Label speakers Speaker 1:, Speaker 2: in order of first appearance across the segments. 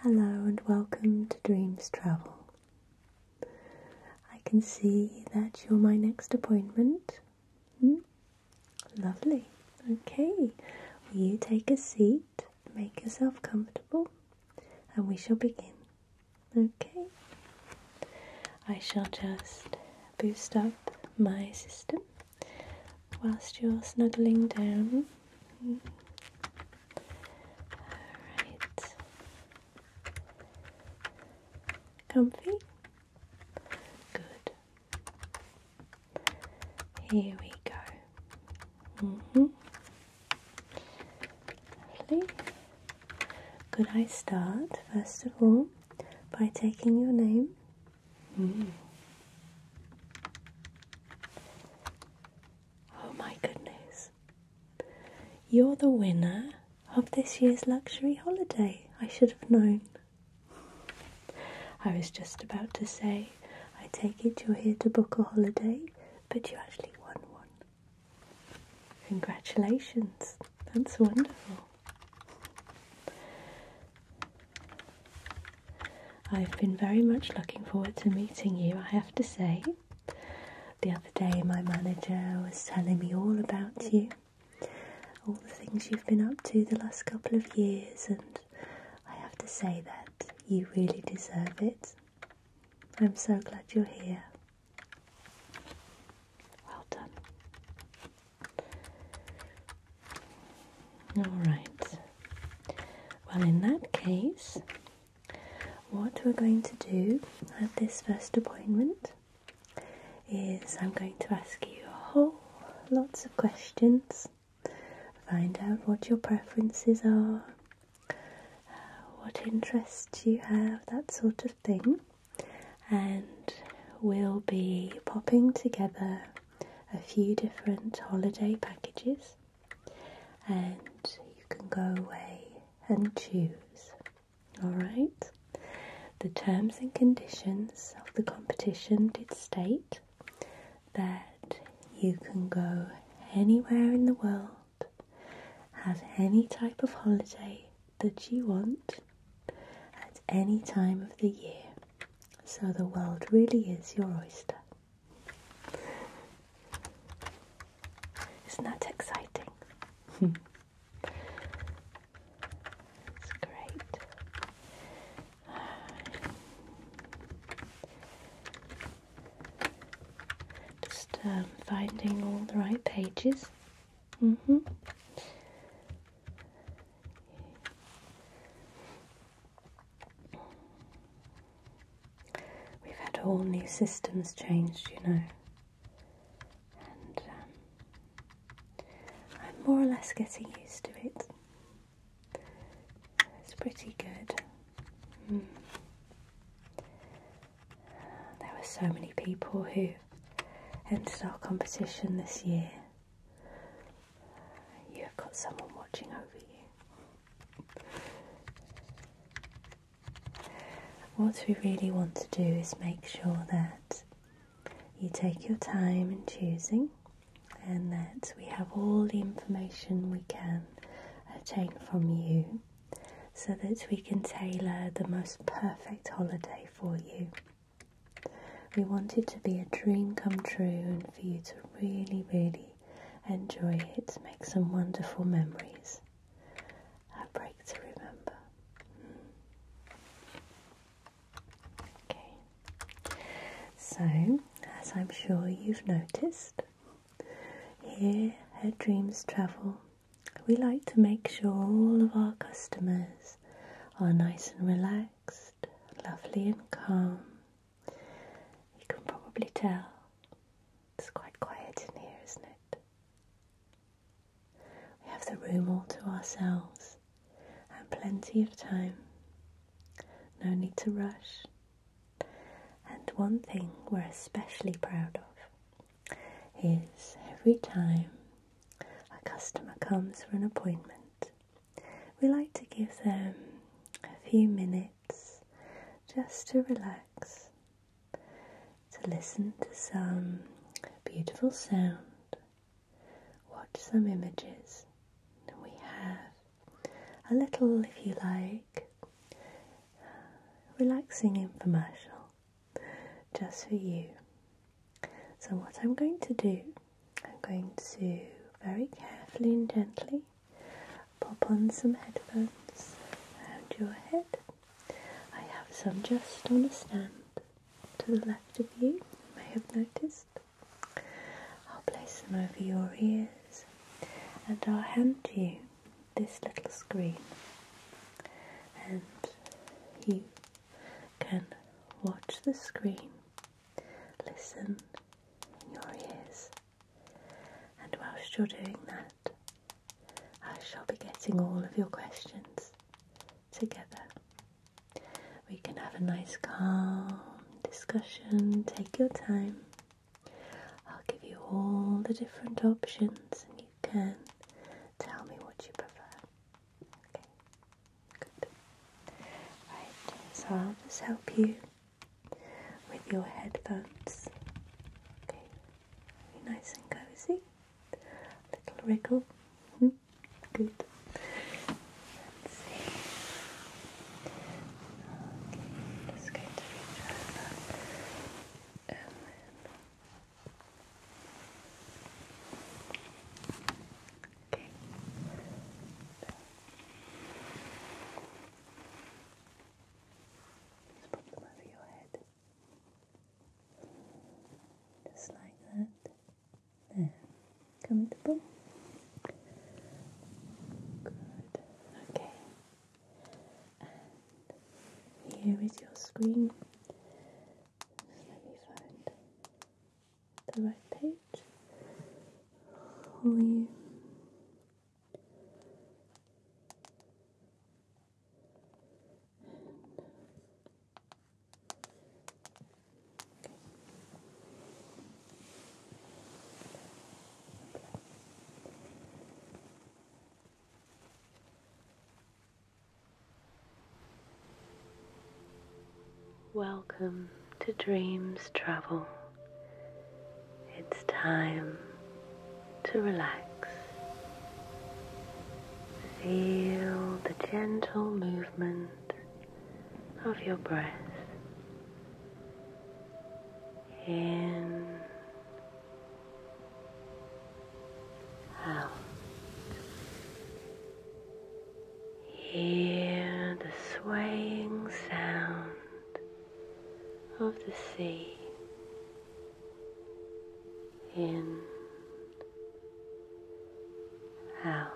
Speaker 1: Hello and welcome to Dreams Travel. I can see that you're my next appointment. Hmm? Lovely. Okay, will you take a seat, make yourself comfortable, and we shall begin. Okay, I shall just boost up my system whilst you're snuggling down. Hmm? Alright. Comfy? Good. Here we go. Mm hmm. Please. Could I start, first of all, by taking your name? Mm. Oh my goodness. You're the winner of this year's luxury holiday. I should have known. I was just about to say, I take it you're here to book a holiday, but you actually won one. Congratulations. That's wonderful. I've been very much looking forward to meeting you, I have to say. The other day, my manager was telling me all about you, all the things you've been up to the last couple of years, and I have to say that you really deserve it. I'm so glad you're here. Well done. All right. Well, in that case, what we're going to do at this first appointment is I'm going to ask you a whole lots of questions, find out what your preferences are, what interests you have, that sort of thing, and we'll be popping together a few different holiday packages and you can go away and choose. Alright? The terms and conditions of the competition did state that you can go anywhere in the world, have any type of holiday that you want at any time of the year. So the world really is your oyster. Isn't that exciting? it's great. just um, finding all the right pages. -hmm. We've had all new systems changed, you know, and um, I'm more or less getting used to it. It's pretty good. Hmm. There were so many people who entered our competition this year. You have got someone watching over you. What we really want to do is make sure that you take your time in choosing and that we have all the information we can obtain from you so that we can tailor the most perfect holiday for you. We want it to be a dream come true and for you to really, really enjoy it, make some wonderful memories. A break to remember. Okay, so as I'm sure you've noticed, here at Dreams Travel, we like to make sure all of our customers are nice and relaxed, lovely and calm, you can probably tell it's quite quiet in here, isn't it? We have the room all to ourselves and plenty of time. No need to rush. And one thing we're especially proud of is every time a customer comes for an appointment, we like to give them a few minutes just to relax, to listen to some beautiful sound, watch some images. And we have a little, if you like, relaxing infomercial just for you. So, what I'm going to do, I'm going to very carefully and gently Pop on some headphones around your head. I have some just on a stand to the left of you, you may have noticed. I'll place them over your ears and I'll hand you this little screen and you can watch the screen, listen in your ears and whilst you're doing that, I shall be getting all of your questions together. We can have a nice, calm discussion. Take your time. I'll give you all the different options, and you can tell me what you prefer. Okay, good. Right, so I'll just help you with your headphones. Okay, Very nice and cozy. Little wriggle. Hmm. Good. Let's see. Okay, just going to reach over and um, then. Okay. Just put them over your head. Just like that. There. Comfortable? Good. Okay. And here is your screen. let me find the right page for you. Welcome to Dreams Travel. It's time to relax. Feel the gentle movement of your breath in, out. Hear the swaying sound of the sea in out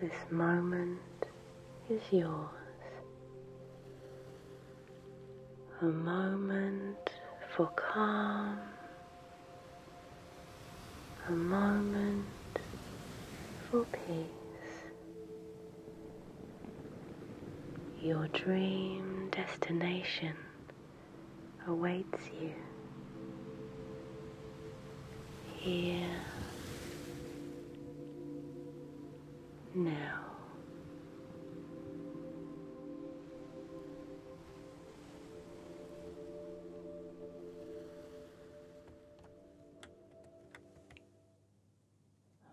Speaker 1: this moment is yours a moment for calm a moment for peace your dream destination awaits you here now.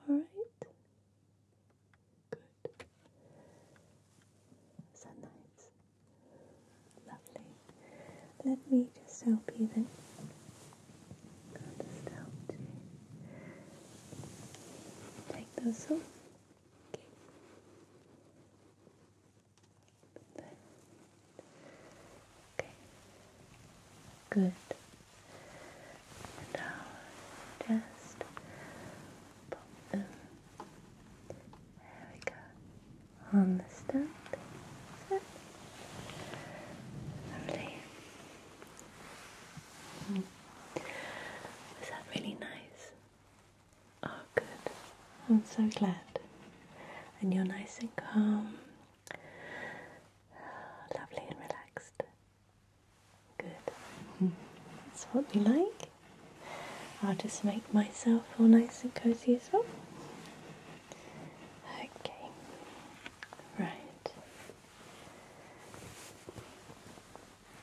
Speaker 1: Alright? Good. So Lovely. Let me just help you then. just help you. Take those off. Okay. Okay. Good. And just pop them. There we go. On the Lovely. Was hmm. that really nice? Oh, good. I'm so glad. And you're nice and calm. Lovely and relaxed. Good. That's what we like. I'll just make myself all nice and cozy as well. Okay. Right.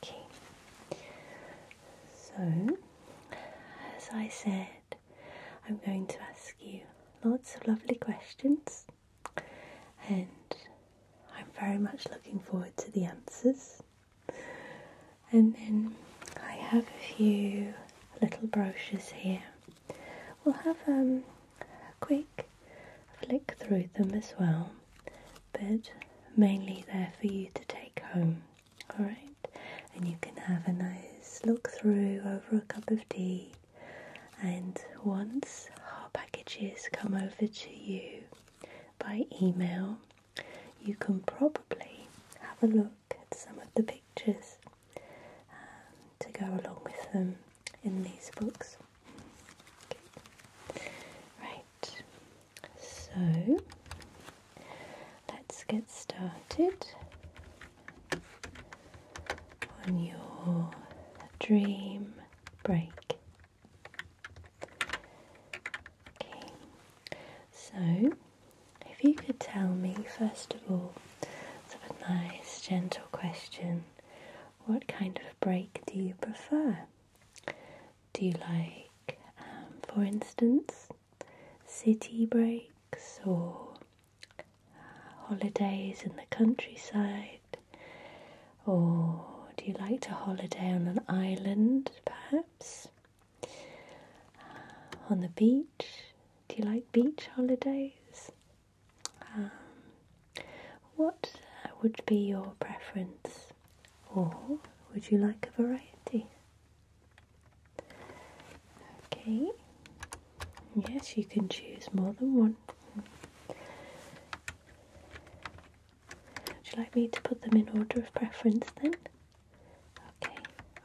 Speaker 1: Okay. So, as I said, I'm going to ask you lots of lovely questions and I'm very much looking forward to the answers. And then I have a few little brochures here. We'll have um, a quick flick through them as well, but mainly there for you to take home, alright? And you can have a nice look through over a cup of tea and once our packages come over to you by email, you can probably have a look at some of the pictures to go along with them in these books. Right, so let's get started on your dream break. Okay, so if you could tell me, first of all, it's a nice, gentle question what kind of break do you prefer? Do you like, um, for instance, city breaks or holidays in the countryside? Or do you like to holiday on an island, perhaps? Uh, on the beach? Do you like beach holidays? Um, what uh, would be your preference? Or would you like a variety? Okay. Yes, you can choose more than one. Would you like me to put them in order of preference then? Okay,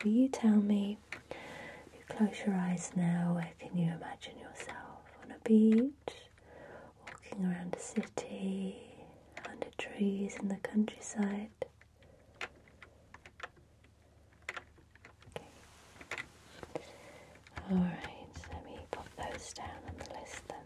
Speaker 1: will you tell me? You close your eyes now. Where can you imagine yourself? On a beach, walking around a city, under trees in the countryside. Alright, let me pop those down on the list then.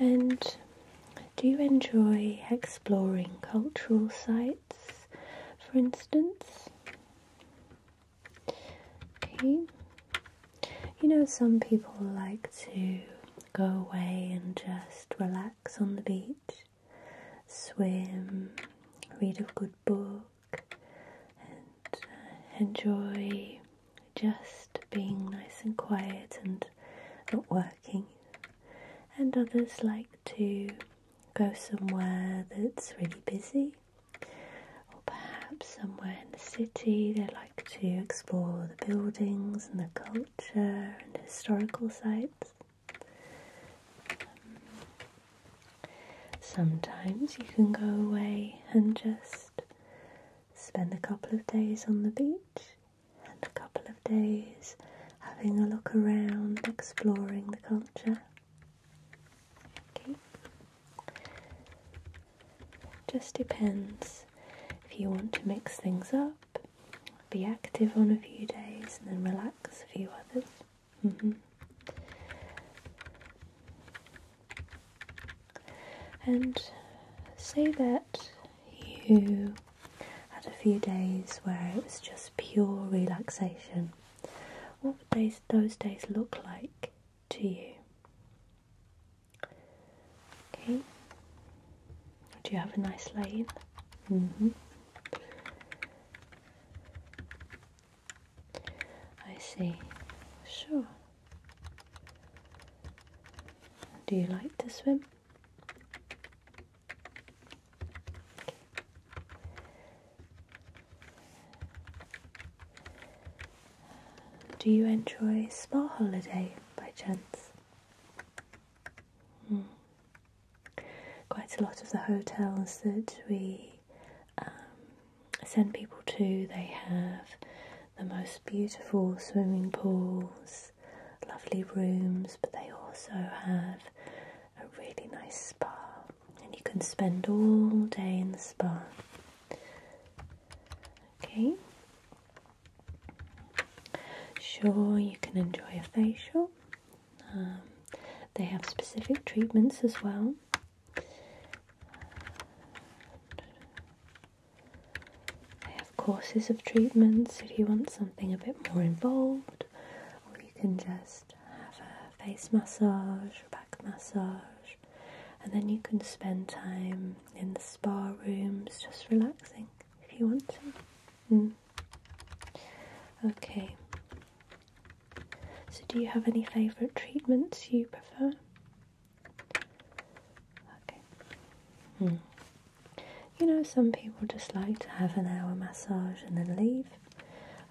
Speaker 1: And do you enjoy exploring cultural sites, for instance? Okay. You know, some people like to go away and just relax on the beach, swim, read a good book, and uh, enjoy just being nice and quiet and not working. And others like to go somewhere that's really busy or perhaps somewhere in the city they like to explore the buildings and the culture and historical sites. Um, sometimes you can go away and just spend a couple of days on the beach and a couple of days having a look around, exploring the culture. Okay. just depends if you want to mix things up, be active on a few days, and then relax a few others. Mm-hmm. And say that you had a few days where it was just pure relaxation. What would they those days look like to you? Okay. Do you have a nice lane? -hmm. I see. Sure. Do you like to swim? Do you enjoy Spa Holiday by chance? Hmm. Quite a lot of the hotels that we um, send people to, they have the most beautiful swimming pools, lovely rooms, but they also have a really nice spa and you can spend all day in the spa. Okay. Sure, you can enjoy a facial. Um, they have specific treatments as well. They have courses of treatments if you want something a bit more involved, or you can just have a face massage, massage, and then you can spend time in the spa rooms just relaxing if you want to. Hmm. Okay, so do you have any favourite treatments you prefer? Okay. Mm. You know, some people just like to have an hour massage and then leave.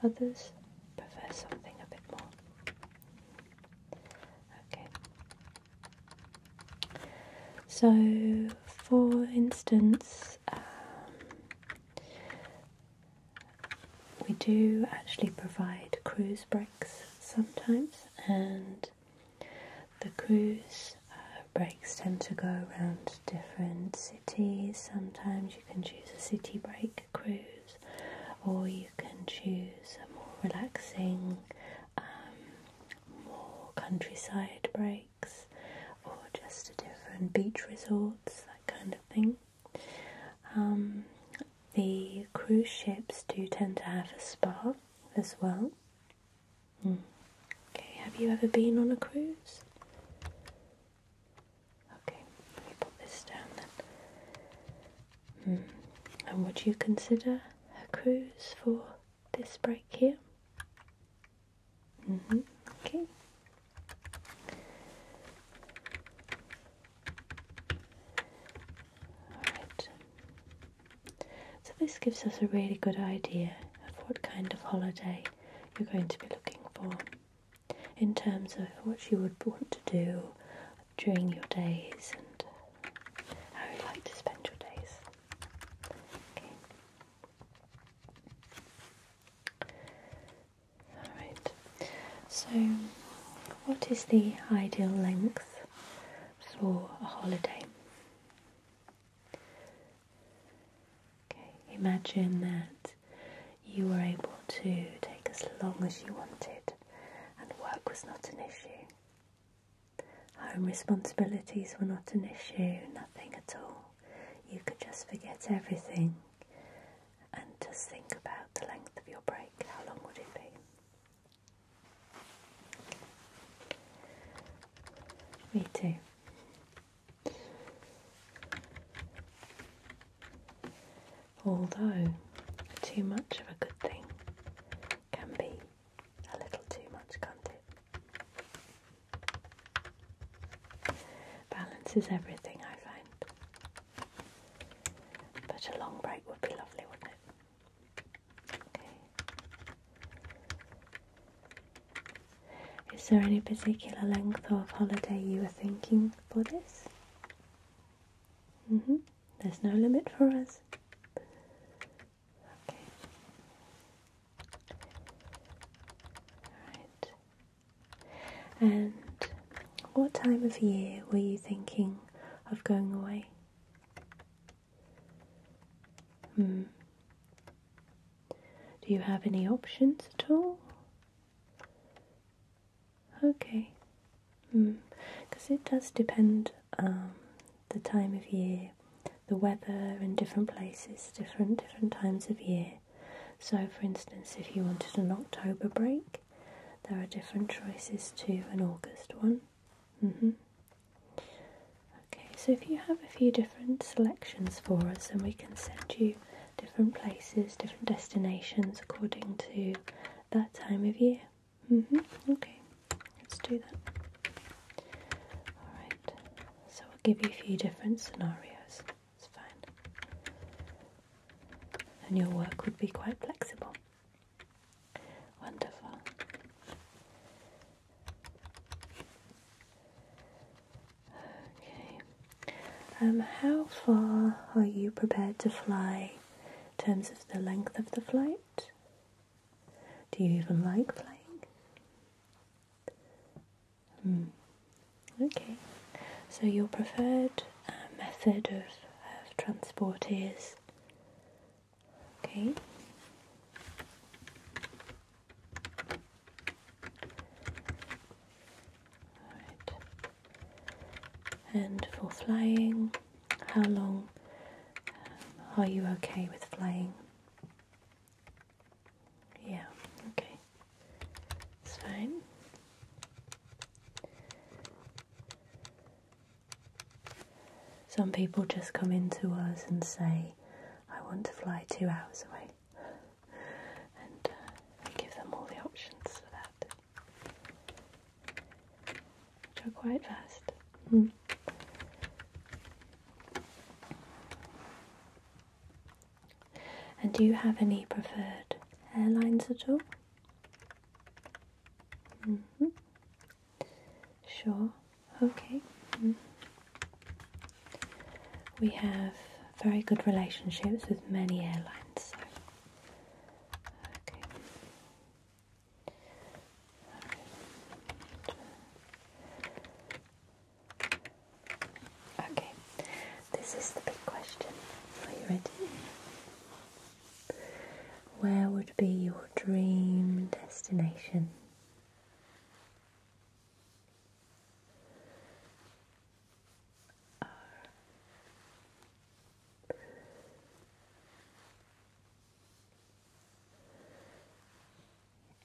Speaker 1: Others prefer something a bit more Okay. So, for instance, um, we do actually provide cruise breaks sometimes, and the cruise uh, breaks tend to go around different cities. Sometimes you can choose a city break cruise or you can choose a more relaxing, um, more countryside breaks, or just a different beach resorts, that kind of thing. Um, the cruise ships do tend to have a spa as well. Hmm. Okay, have you ever been on a cruise? Okay, let me put this down then. Hmm, and would you consider a cruise for this break here? Mm-hmm, okay. Alright. So this gives us a really good idea of what kind of holiday you're going to be looking for in terms of what you would want to do during your days and how you would like to spend your days. Alright, so what is the ideal length for a holiday? Okay, imagine that you were able to take as long as you wanted and work was not an issue. Home responsibilities were not an issue, nothing at all. You could just forget everything and just think about the length of your break. How long would it be? Me too although too much of a good thing can be a little too much, can't it? Balance is everything, I find. But a long break would be lovely, wouldn't Is there any particular length of holiday you were thinking for this? Mm-hmm. There's no limit for us. Okay. Right. And what time of year were you thinking of going away? Hmm. Do you have any options at all? Okay. Because hmm. it does depend um, the time of year, the weather in different places, different different times of year. So, for instance, if you wanted an October break, there are different choices to an August one. Mm-hmm. Okay, so if you have a few different selections for us, and we can send you different places, different destinations according to that time of year. Mm-hmm. Okay, let's do that. All right. So I'll give you a few different scenarios. It's fine. And your work would be quite flexible. Wonderful. Okay. Um, how far are you prepared to fly in terms of the length of the flight? Do you even like flying? Hmm. Okay, so your preferred uh, method of transport is okay. And for flying, how long um, are you okay with flying? Yeah, okay. It's fine. Some people just come into us and say, I want to fly two hours away. And uh, give them all the options for that which are quite fast. Hmm. And do you have any preferred airlines at all? Mm-hmm. Sure, okay. Hmm. We have very good relationships with many airlines. Okay. Okay, this is the big question. Are you ready? Where would be your dream destination?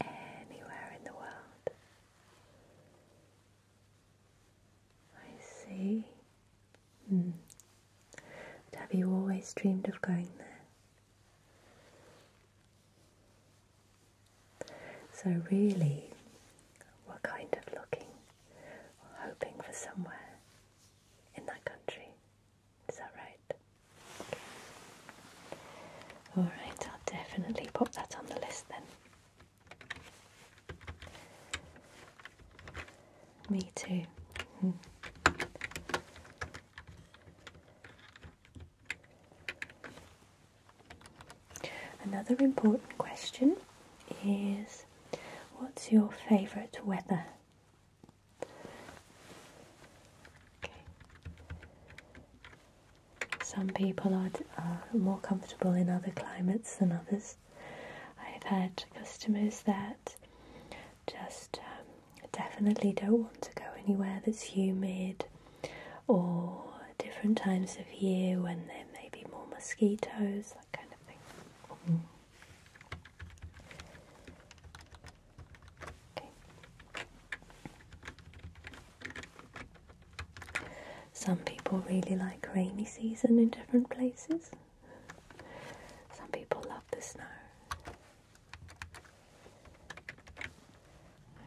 Speaker 1: anywhere in the world. I see. Hmm. have you always dreamed of going there? So, really, we're kind of looking hoping for somewhere in that country. Is that right? Alright, I'll definitely pop that on the list then. Me too. Hmm. Another important question is What's your favourite weather? Some people are, more comfortable in other climates than others. I've had customers that just um, definitely don't want to go anywhere that's humid or different times of year when there may be more mosquitoes, that kind of thing. Mm. Some people really like rainy season in different places. Some people love the snow.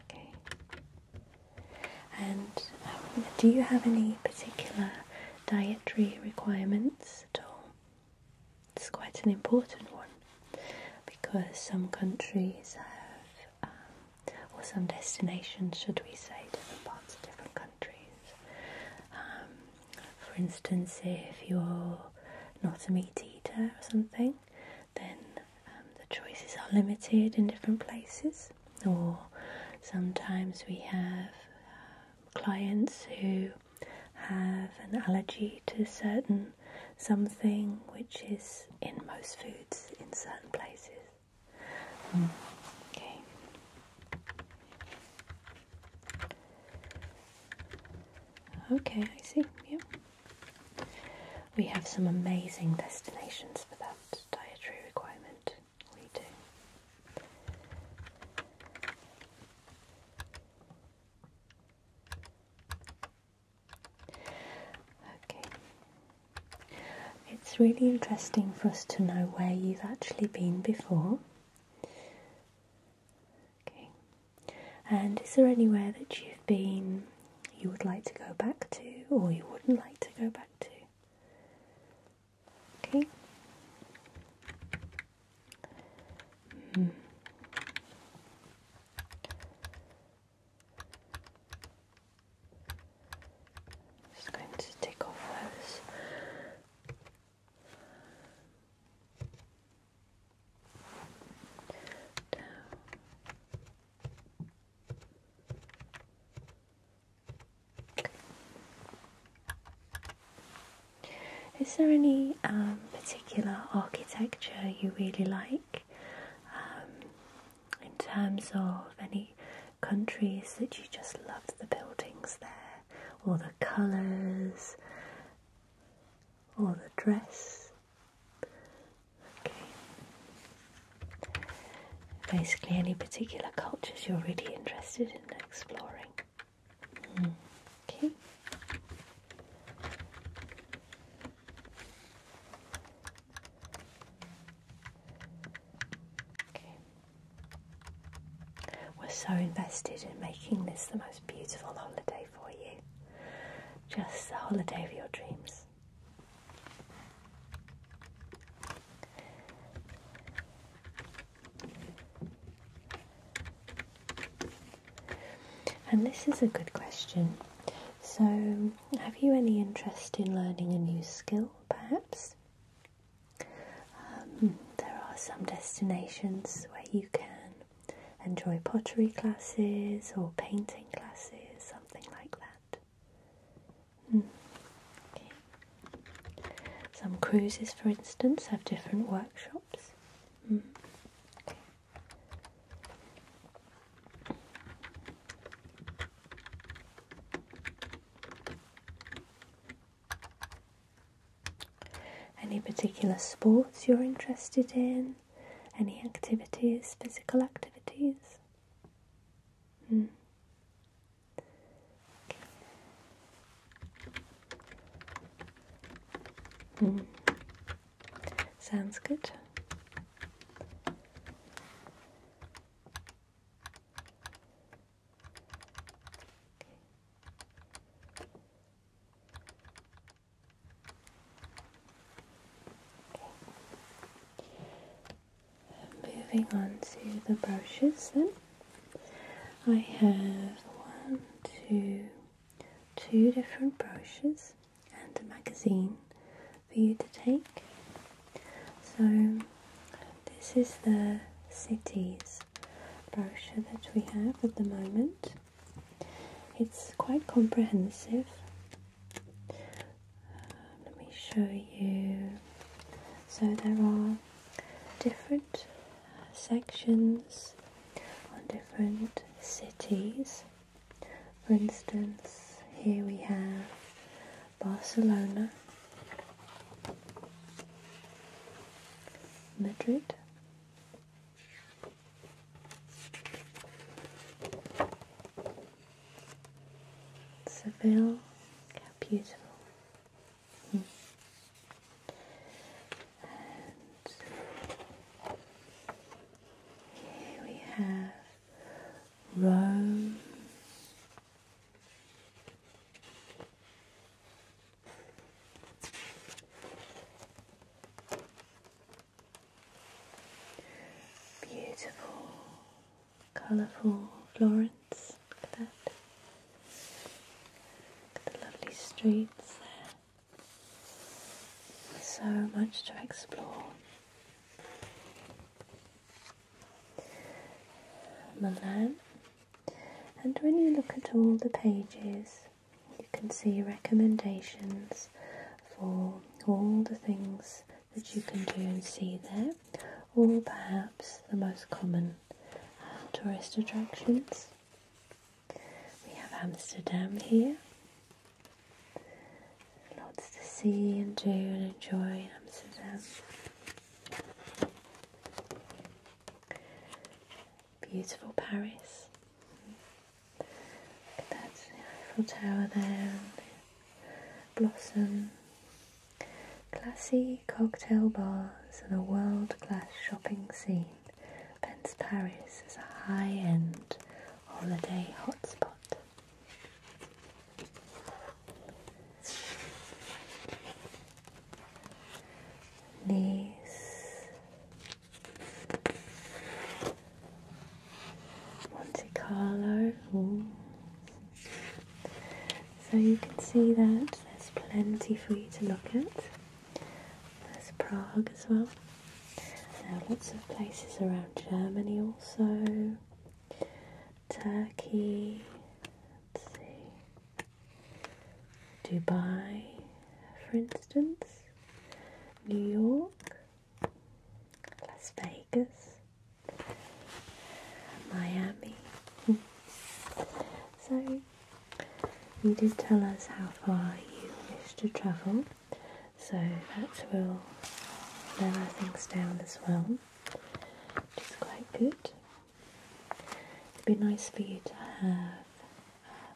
Speaker 1: Okay. And um, do you have any particular dietary requirements at all? It's quite an important one because some countries have, um, or some destinations, should we say, different parts of different countries. Um, for instance, if you're not a meat eater or something, then um, the choices are limited in different places, or sometimes we have clients who have an allergy to certain something which is in most foods in certain places. Mm, okay. Okay, I see. Yeah. We have some amazing destinations for that dietary requirement. We do. Okay. It's really interesting for us to know where you've actually been before. Okay. And is there anywhere that you've been you would like to go back to or you wouldn't like to go back to? Okay. Hmm. Just going to take off those. Down. Is there any um, particular architecture you really like um, in terms of any countries that you just love the buildings there, or the colours, or the dress? Okay. Basically, any particular cultures you're really interested in exploring. Okay. We're so invested in making this the most beautiful holiday for you. Just the holiday of your dreams. And this is a good question. So, have you any interest in learning a new skill, perhaps? Um, there are some destinations where you can enjoy pottery classes or painting classes, something like that. Hmm. Some cruises, for instance, have different workshops workshops. Hmm. Any particular sports you're interested in? Any activities, physical activities? Hmm. Hmm. Sounds good. Moving on to the brushes then. I have one, two, two different brochures and a magazine for you to take. So this is the cities brochure that we have at the moment. It's quite comprehensive. Uh, let me show you. So there are different uh, sections on different cities. For instance, here we have Barcelona, Madrid, Seville, how beautiful here we have Rome. Beautiful, colourful Florence. Look at that the lovely streets there. So much to explore. Milan. And when you look at all the pages, you can see recommendations for all the things that you can do and see there, or perhaps the most common uh, tourist attractions. We have Amsterdam here. Lots to see and do and enjoy Amsterdam. Beautiful Paris. Look at that Eiffel Tower there, Blossom. Classy cocktail bars and a world class shopping scene. Vence Paris is a high-end holiday hotspot. Nice. Monte Carlo. So you can see that there's plenty for you to look at. There's Prague as well. There are lots of places around Germany also. Turkey. Let's see. Dubai, for instance. New York. Las Vegas. Miami. so you did tell us how far you wish to travel, so that will narrow things down as well, which is quite good. It'd be nice for you to have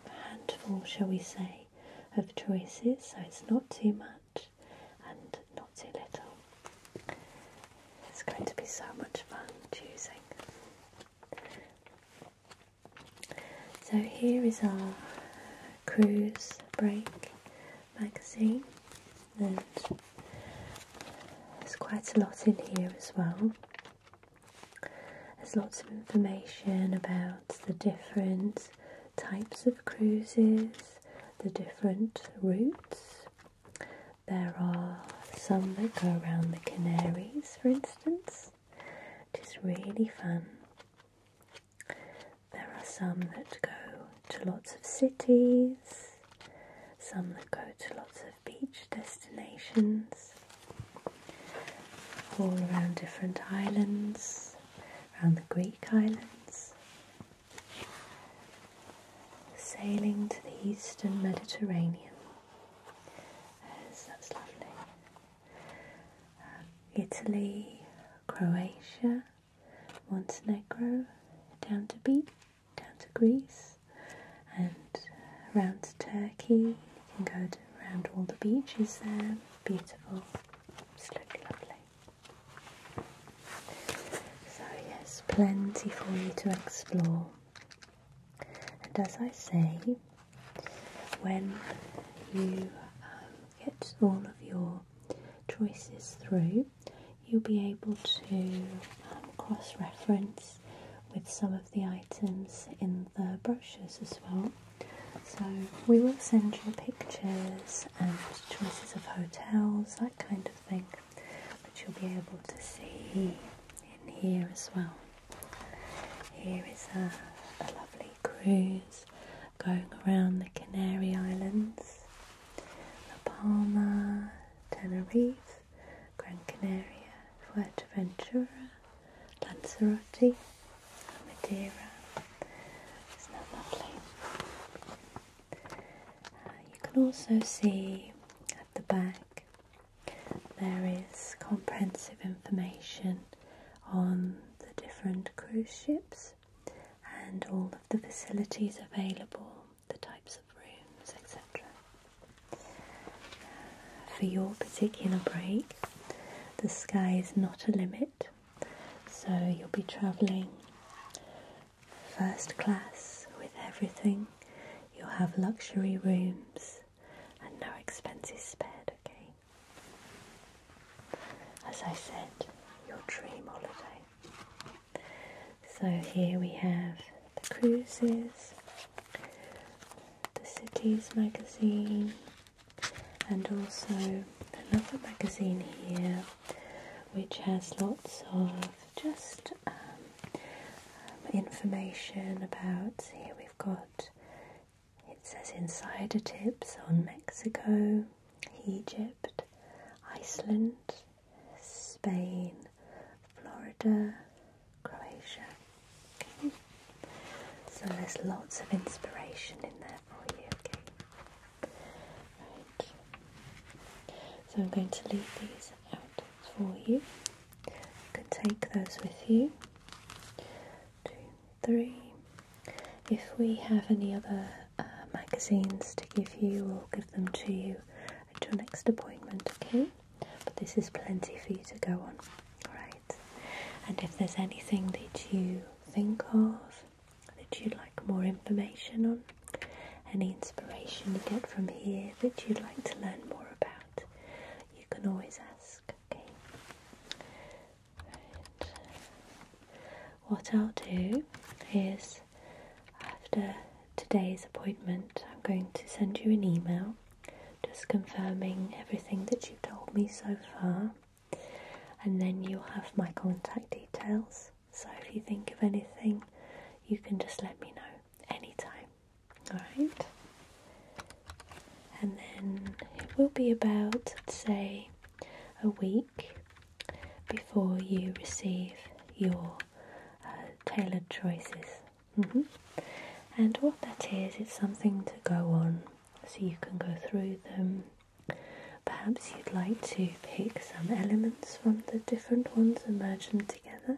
Speaker 1: a handful, shall we say, of choices, so it's not too much and not too little. It's going to be so much fun choosing. So here is our cruise break magazine, and there's quite a lot in here as well. There's lots of information about the different types of cruises, the different routes. There are some that go around the Canaries, for instance, it is really fun. There are some that go to lots of cities, some that go to lots of beach destinations, all around different islands, around the Greek islands, sailing to the eastern Mediterranean. Yes, that's lovely. Uh, Italy, Croatia, Montenegro, down to B, down to Greece, and round to Turkey. You can go around all the beaches there. Beautiful, absolutely lovely. So yes, plenty for you to explore. And as I say, when you um, get all of your choices through, you'll be able to um, cross reference with some of the items in the brochures as well. So, we will send you pictures and choices of hotels, that kind of thing, which you'll be able to see in here as well. Here is a, lovely cruise going around the Canary Islands, La Palma, Tenerife, Gran Canaria, Fuerteventura, Lanzarote, Madeira. Isn't that lovely? Uh, you can also see at the back there is comprehensive information on the different cruise ships and all of the facilities available, the types of rooms, etc. For your particular break, the sky is not a limit, so you'll be travelling first class with everything. You'll have luxury rooms and no expenses spared, okay? As I said, your dream holiday. So here we have the cruises, the cities magazine, and also another magazine here which has lots of just um, information about. Here we've got it says insider tips on Mexico, Egypt, Iceland, Spain, Florida, Croatia. Okay. So there's lots of inspiration in there for you. Okay. Right. So I'm going to leave these out for you. You can take those with you two, three. If we have any other uh, magazines to give you, we'll give them to you at your next appointment, okay? But this is plenty for you to go on, alright? And if there's anything that you think of that you'd like more information on, any inspiration you get from here that you'd like to learn more about, you can always ask okay? What I'll do is after today's appointment, I'm going to send you an email just confirming everything that you've told me so far, and then you'll have my contact details. So if you think of anything, you can just let me know anytime. Alright. And then it will be about, say, a week before you receive your uh, tailored choices. Mm-hmm. And what that is, it's something to go on so you can go through them. Perhaps you'd like to pick some elements from the different ones and merge them together.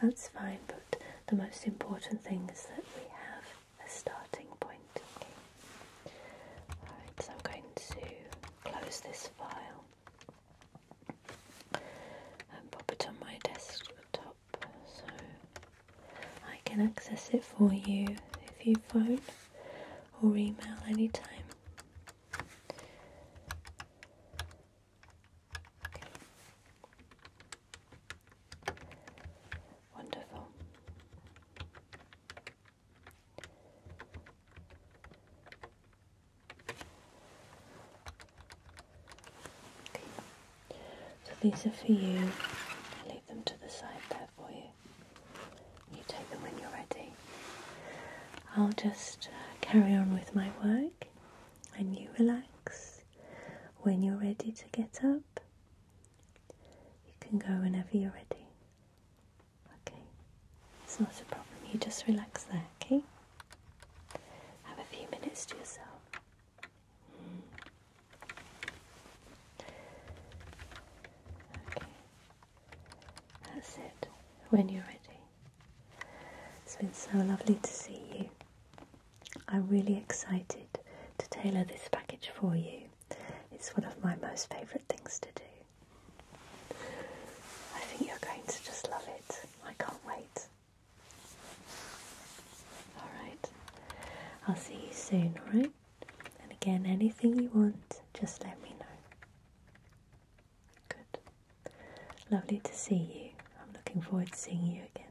Speaker 1: That's fine, but the most important thing is that we have a starting point. Alright, so I'm going to close this file and pop it on my desktop so I can access it for you if you phone or email anytime. Wonderful. So these are for you. I'll leave them to the side there for you. You take them when you're ready. I'll just uh, carry on with my work and you relax. When you're ready to get up, you can go whenever you're ready. Okay, it's not a problem. You just relax there, okay? Have a few minutes to yourself. Okay, that's it. When you're ready. It's been so lovely to see you. I'm really excited to tailor this package for you. It's one of my most favourite things to do. I think you're going to just love it. I can't wait. Alright, I'll see you soon, alright? And again, anything you want, just let me know. Good. Lovely to see you. I'm looking forward to seeing you again.